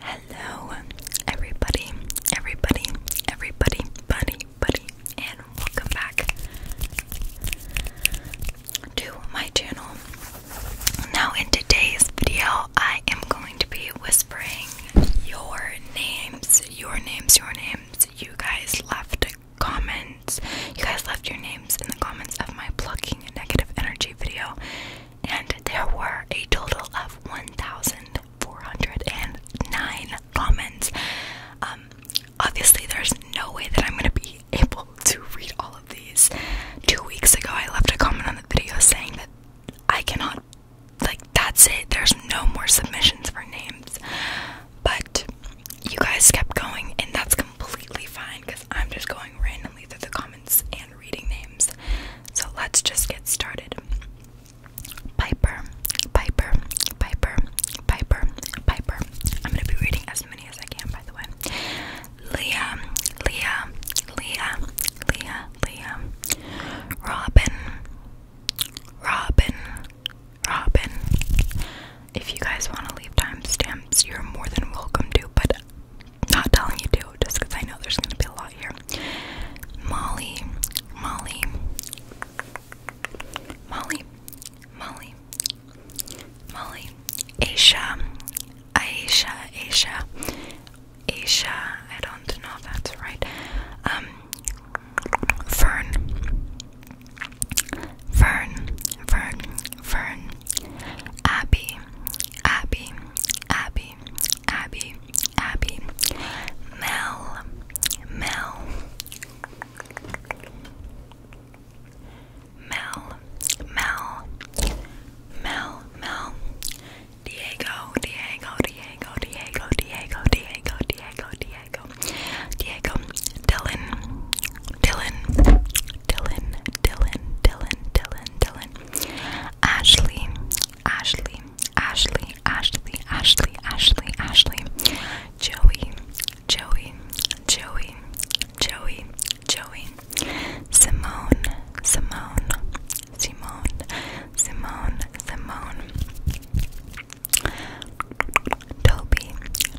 Hello, everybody, everybody, everybody, buddy, buddy, and welcome back to my channel. Now, in today's video, I am going to be whispering your names, your names, your names. You guys left comments, you guys left your names in the comments of my plucking negative energy video and there were a total of 1,409 comments. Um, obviously, there's no way that I'm going to be able to read all of these. Two weeks ago, I left a comment on the video saying that I cannot, like, that's it. There's no more submissions for names. But you guys kept going, and that's completely fine because I'm just going randomly through the comments and reading names. So let's just get started. Piper, Piper, Piper, Piper, Piper. I'm going to be reading as many as I can, by the way. Leah, Leah, Leah, Leah, Leah. Robin, Robin, Robin. If you guys want to leave timestamps, you're more than welcome to, but not telling you to, just because I know there's gonna be a lot here. Molly, Molly, Molly, Molly, Molly, Aisha, Aisha, Aisha, Aisha. I don't know if that's right. Um, Fern, Fern, Fern, Fern, Abby, Abby, Abby, Abby, Abby, Mel, Mel, Mel, Mel, Mel, Mel, Diego, Diego, Diego, Diego, Diego, Diego, Diego, Diego, Diego, Dylan, Dylan, Dylan, Dylan, Dylan, Dylan, Dylan, Ashley, Ashley, Ashley, Ashley, Ashley, Ashley, Ashley, Joey, Joey, Joey, Joey, Joey, Simone, Simone, Simone, Simone, Simone, Toby,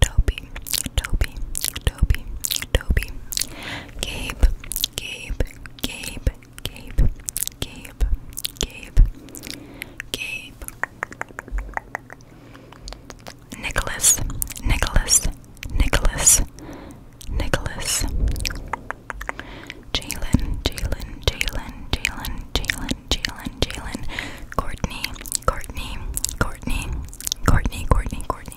Toby, Toby, Toby, Toby, Gabe, Gabe, Gabe, Gabe, Gabe, Gabe, Gabe, Nicholas, Nicholas, Nicholas, Nicholas, Jalen, Jalen, Jalen, Jalen, Jalen, Jalen, Jalen, Courtney, Courtney, Courtney, Courtney, Courtney, Courtney.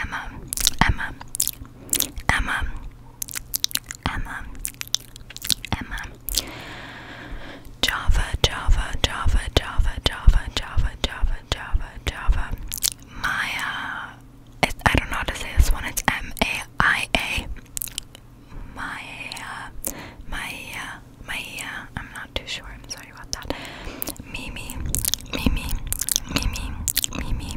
Emma, Emma, Emma, Emma, Emma, Java, Java, Java, Java, Java, Java, Java, Java, Java, Maya. It, I don't know how to say this one. It's M A I A. Maya, Maya, Maya. I'm not too sure. I'm sorry about that. Mimi, Mimi, Mimi, Mimi, Mimi,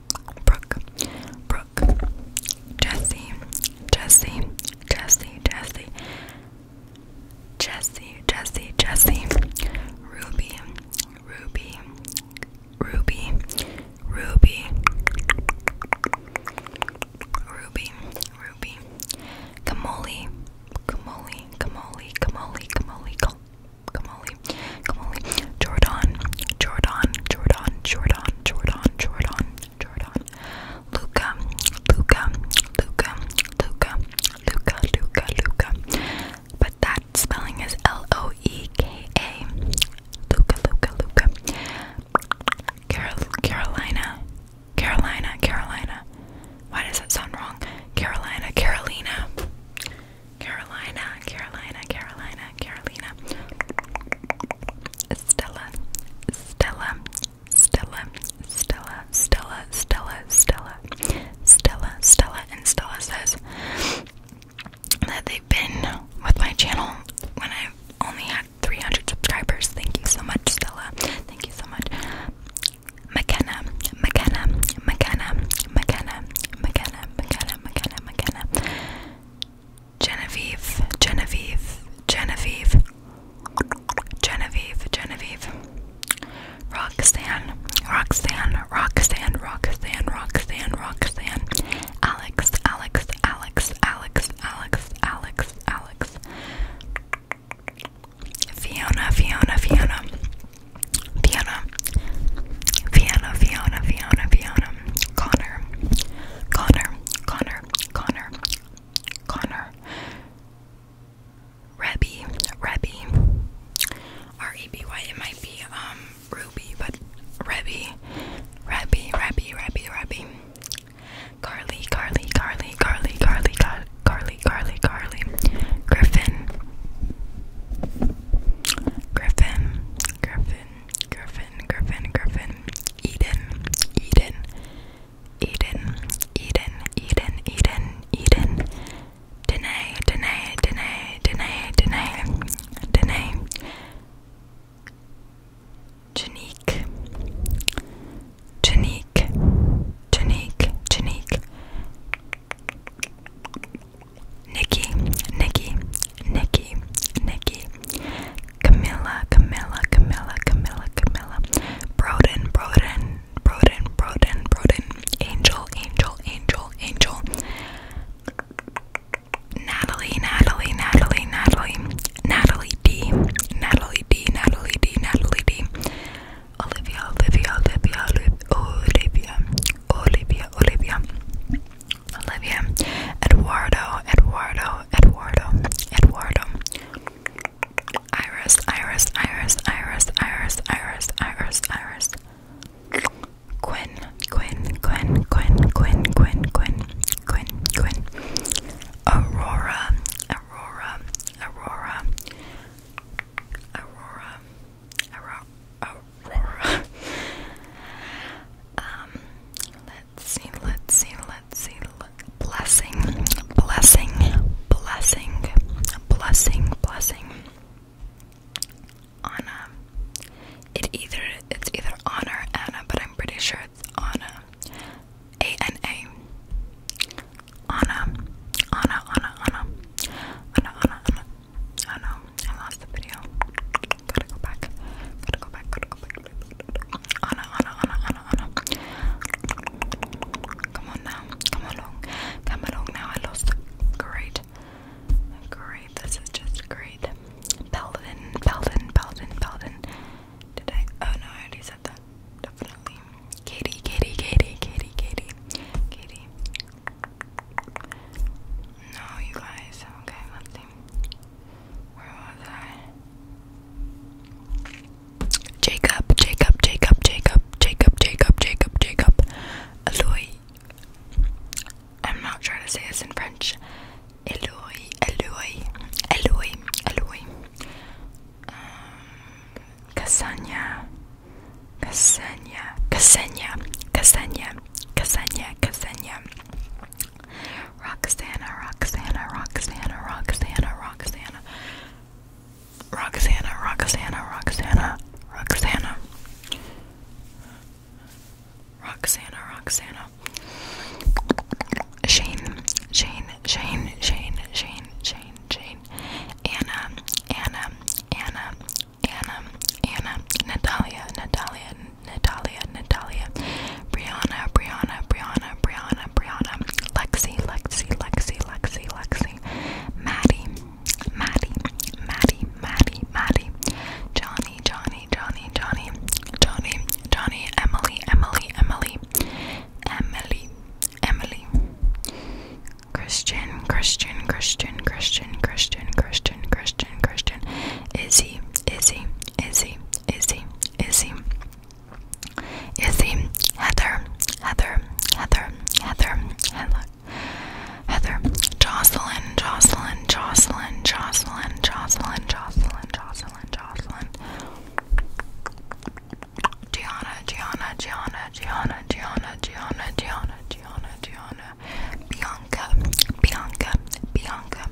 Brooke, Brooke, Jesse, Jesse, Jesse, Jesse, Jesse, Jesse, Jesse, Ruby, Ruby, Ruby, Ruby, Ruby, Ruby, Kamoli, Kamoli, Kamoli, Kamoli, Kamoli, Kamoli, Kamali, Jordan, Jordan, Jordan, Jordan, Jordan, Jordan, Jordan, Luca, Luca, Luca, Luca, Luca, Luca, Luca. But that spelling is L-O-E-K-A. Luca, Luca, Luca. Carol Carolina. Carolina, Carolina. Why does that sound wrong? Carolina, Carolina. Carolina, Carolina, Carolina, Carolina. Stella, Stella, Stella, Stella, Stella, Stella, Stella, Stella, Stella, and Stella says that they've been with my channel when I've only had 300 subscribers. Thank you so much, Stella. Thank you so much. McKenna, McKenna, McKenna, McKenna, McKenna, McKenna, McKenna, McKenna. Genevieve, Genevieve, Genevieve, Genevieve, Genevieve, Roxanne, Roxanne, Roxanne, Roxanne, Roxanne, Roxanne, Alex, Alex, Alex, Alex, Alex, Alex, Alex, Fiona, Fiona, Fiona, Fiona, Fiona, Fiona, Fiona, Fiona, Connor, Connor, Connor, Connor, Connor, Rebby, Rebby, R E B Y. It might be um Ruby, but Rebby, Rebby, Rebby, Rebby, Rebby. Carly, Carly, Carly, Carly, Carly, Car Carly, Carly, Carly, Griffin, Griffin, Griffin, Griffin, Griffin, Griffin, Eden, Eden, Eden, Eden, Eden, Eden, Eden, Danae, Danae, Danae, Danae, Danae, Danae, Janique, Janique, Janique, Janique, Nikki, Nikki, Nikki, Nikki, Camilla, Camilla, Camilla, Camilla, Camilla, Broden, Broden, Broden, Broden, Broden, Angel, Angel, Angel, Angel, Natalie, Natalie, Natalie, Natalie, Natalie D, Natalie D, Natalie D, Natalie D, Olivia, Olivia, Olivia, Olivia, Olivia, Olivia, Olivia, Olivia, Eduardo, Eduardo, Eduardo, Eduardo, Iris, Iris, Iris, Iris, Iris, Iris, Iris, Iris, Quinn, Quinn, Quinn, Quinn, Quinn, Quinn, Quinn, Quinn, Quinn, Aurora, Aurora, Aurora, Aurora, Aurora. Aurora. um, let's see, let's see, let's see. Blessing, blessing, blessing, blessing, blessing. Anna. Uh, it either it's either honor Anna, but I'm pretty sure it's Anna. Uh, A N A. Anna, Anna, Anna, Anna, Anna, Anna, Oh no, I lost the video. Gotta go back. Gotta go back. Gotta go back. Anna, Anna, Anna, Anna, Anna. Come on now. Come along. Come along now. I lost. Great. Great. This is just great. Belden, Belden, Belden, Belden. Did I? Oh no, I already said that. Definitely. Katie, Katie, Katie, Katie, Katie, Katie. No, you guys. Okay, let's see. Where was I? Jacob, Jacob, Jacob, Jacob, Jacob, Jacob, Jacob, Jacob. Eloy. I'm not sure to say this in French. Eloy, Eloy, Eloy, Eloy. Um, Cassania. Ksenia, Ksenia, Ksenia, Ksenia, Ksenia. Roxana, Roxana, Roxana, Roxana, Roxana. Roxana, Roxana, Roxana, Roxana. Roxana, Roxana. Shane, Shane, Shane, Shane, Shane, Shane, Shane. Anna, Anna, Anna, Anna, Anna, Natalia, Natalia, Natalia, Natalia, Brianna, Brianna, Brianna, Brianna, Brianna, Lexi, Lexi, Lexi, Lexi, Lexi, Maddie, Maddie, Maddie, Maddie, Maddie, Johnny, Johnny, Johnny, Johnny, Johnny, Johnny, Emily, Emily, Emily, Emily, Emily, Christian, Christian, Christian, Christian, Christian, Christian, Christian, Christian. Izzy, Izzy, Izzy, Izzy, Izzy. Izzy, Heather, Heather, Heather, Heather, Heather. Heather, Jocelyn, Jocelyn, Jocelyn, Jocelyn, Jocelyn, Jocelyn, Jocelyn, Jocelyn. Gianna, Gianna, Gianna, Gianna, Gianna, Gianna, Gianna, Gianna, Gianna, Fiona, Bianca, Bianca, Bianca,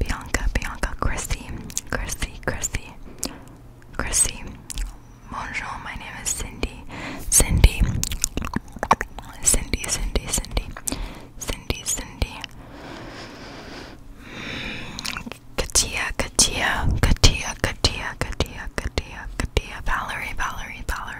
Bianca, Bianca, Chrissy, Chrissy, Chrissy, Chrissy. Bonjour, my name is Cindy, Cindy, Cindy, Cindy, Cindy, Cindy, Cindy. Katia, Katia, Katia, Katia, Katia, Katia, Katia, Valerie, Valerie, Valerie.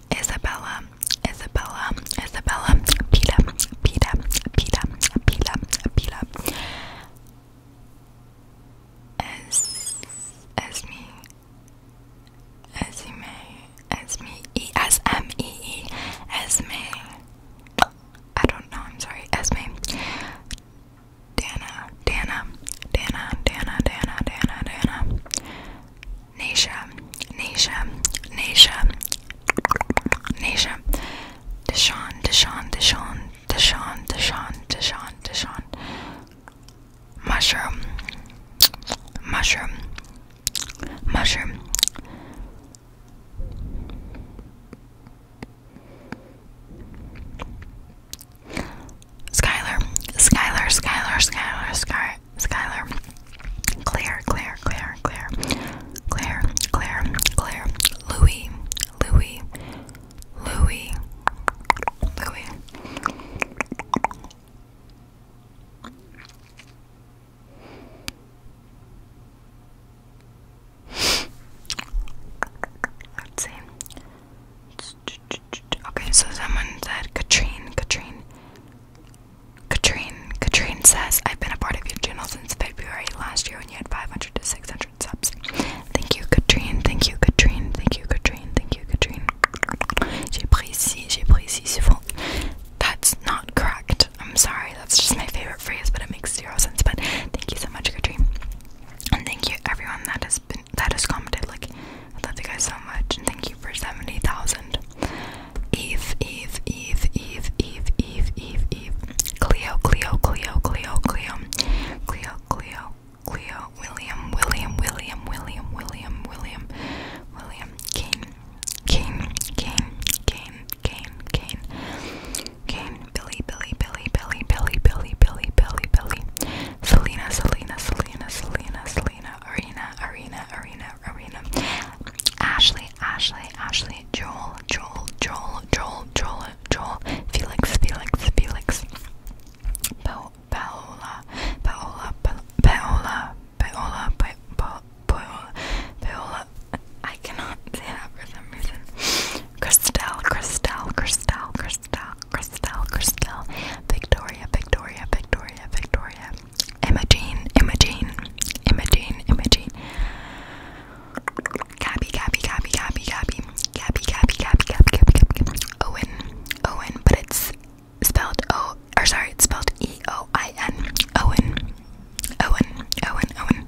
Isabella, Isabella, Isabella, Pita, Pita, Pita, Pita, Pita. As as me as me as me e as m e e as me I don't know I'm sorry as me Dana Dana Dana Dana Dana Dana Dana Nisha, Nisha, Nisha, Nisha, Deshaun, Deshaun, Deshaun, Deshaun, Deshaun, Deshaun, Deshaun, Mushroom, Mushroom, Mushroom. Skylar, Skylar, Skylar, Skylar, Skylar, Skylar, Claire, Claire, Claire, Claire, Claire, Claire, Louis, Louis, Louis, Louis. let Okay, so someone said Katrine, Katrine, Katrine, Katrine says, I've been a part of your channel since February last year when you had 500 to 600 subs. Thank you, Katrine. Thank you, Katrine. Thank you, Katrine. Thank you, Katrine. J'apprécie, j'apprécie souvent. That's not correct. I'm sorry. That's just my favorite phrase, but it makes zero sense. But thank you so much, Katrine. And thank you everyone that has been that has commented. Like I love you guys so much, and thank you for seventy thousand. Eve, Eve, Eve, Eve, Eve, Eve, Eve, Eve, Cleo, Cleo, Cleo, Cleo, Cleo, Cleo, Cleo, Cleo, William, William, William, William, William, William, William, Kane, Kane, Kane, Kane, Kane, Kane, Kane, Billy, Billy, Billy, Billy, Billy, Billy, Billy, Billy, Billy, Selena, Selena, Selena, Selena, Selena, Arena, Arena, Arena, Arena, Arena. Ashley, Ashley, Ashley, Joel, Joel, Joel, Joel, Joel, Joel, Felix, Felix, Felix. Paola, Paola, Paola, Paola, Paola, Paola, Paola, Paola. I cannot say that for some reason. Christelle, Christelle, Christelle, Christelle, Christelle, Christelle. Victoria, Victoria, Victoria, Victoria. Imogene, Imogene, Imogene, Imogene. Gabby, Gabby, Gabby, Gabby, Gabby, Gabby, Gabby, Gabby, Gabby, Gabby, Gabby, Owen, Owen, but it's spelled O, or sorry, it's spelled E O I N. Owen, Owen, Owen, Owen.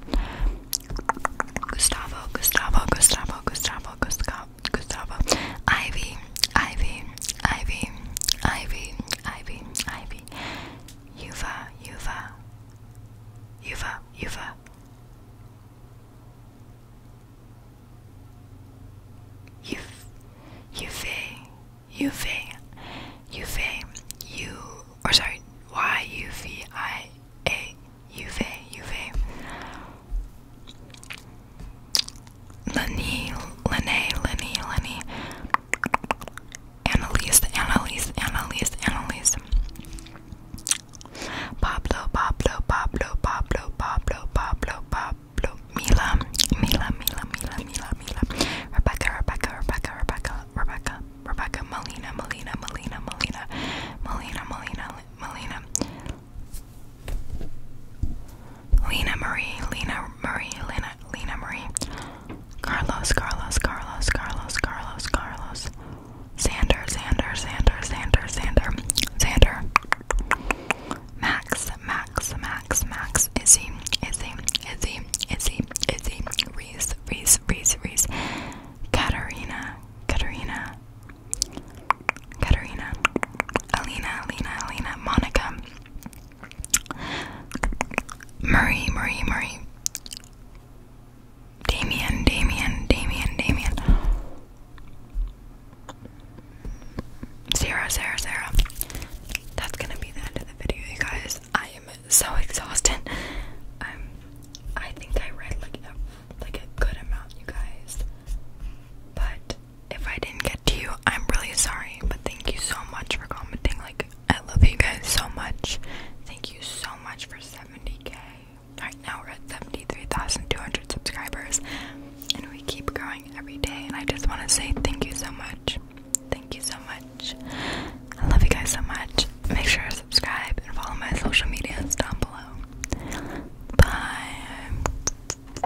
Gustavo, Gustavo, Gustavo, Gustavo, Gustavo, Gustavo. Ivy, Ivy, Ivy, Ivy, Ivy, Ivy, Yuva, Yuva, Yuva, Yuva. You've, you've, you or sorry, Y U V I Lenny, Lenny, Lenny, Lenny, Annalise, Annalise, Annalise, Annalise, Pablo, Pablo, Pablo, Pablo, Pablo, Pablo, Pablo, Mila, Mila, Mila, Mila, Mila, Mila, Rebecca, Rebecca, Rebecca, Rebecca, Rebecca, Rebecca, Melina, Melina, Melina, Melina, Melina, Melina, Melina. Lena Marie, Lena Marie, Lena, Lena Marie, Carlos, Carlos, Carlos, Carlos, Carlos, Carlos, Xander, Xander, Xander, Xander, Xander, Xander, Max, Max, Max, Max, Izzy, Izzy, Izzy, Izzy, Izzy, Reese, Reese, Reese, Reese, Katarina, Katarina, Katarina, Alina, Alina, Alina, Monica. Murray, Murray, Murray. Damien, Damien, Damien, Damien. Sarah, Sarah, Sarah. That's gonna be the end of the video, you guys. I am so exhausted. Um, I think I read like a like a good amount, you guys. But if I didn't get to you, I'm really sorry, but thank you so much for commenting. Like, I love you guys so much. Thank you so much for 70k. Right now, we're at 73,200 subscribers, and we keep growing every day. And I just want to say thank you so much. Thank you so much. I love you guys so much. Make sure to subscribe and follow my social medias down below. Bye.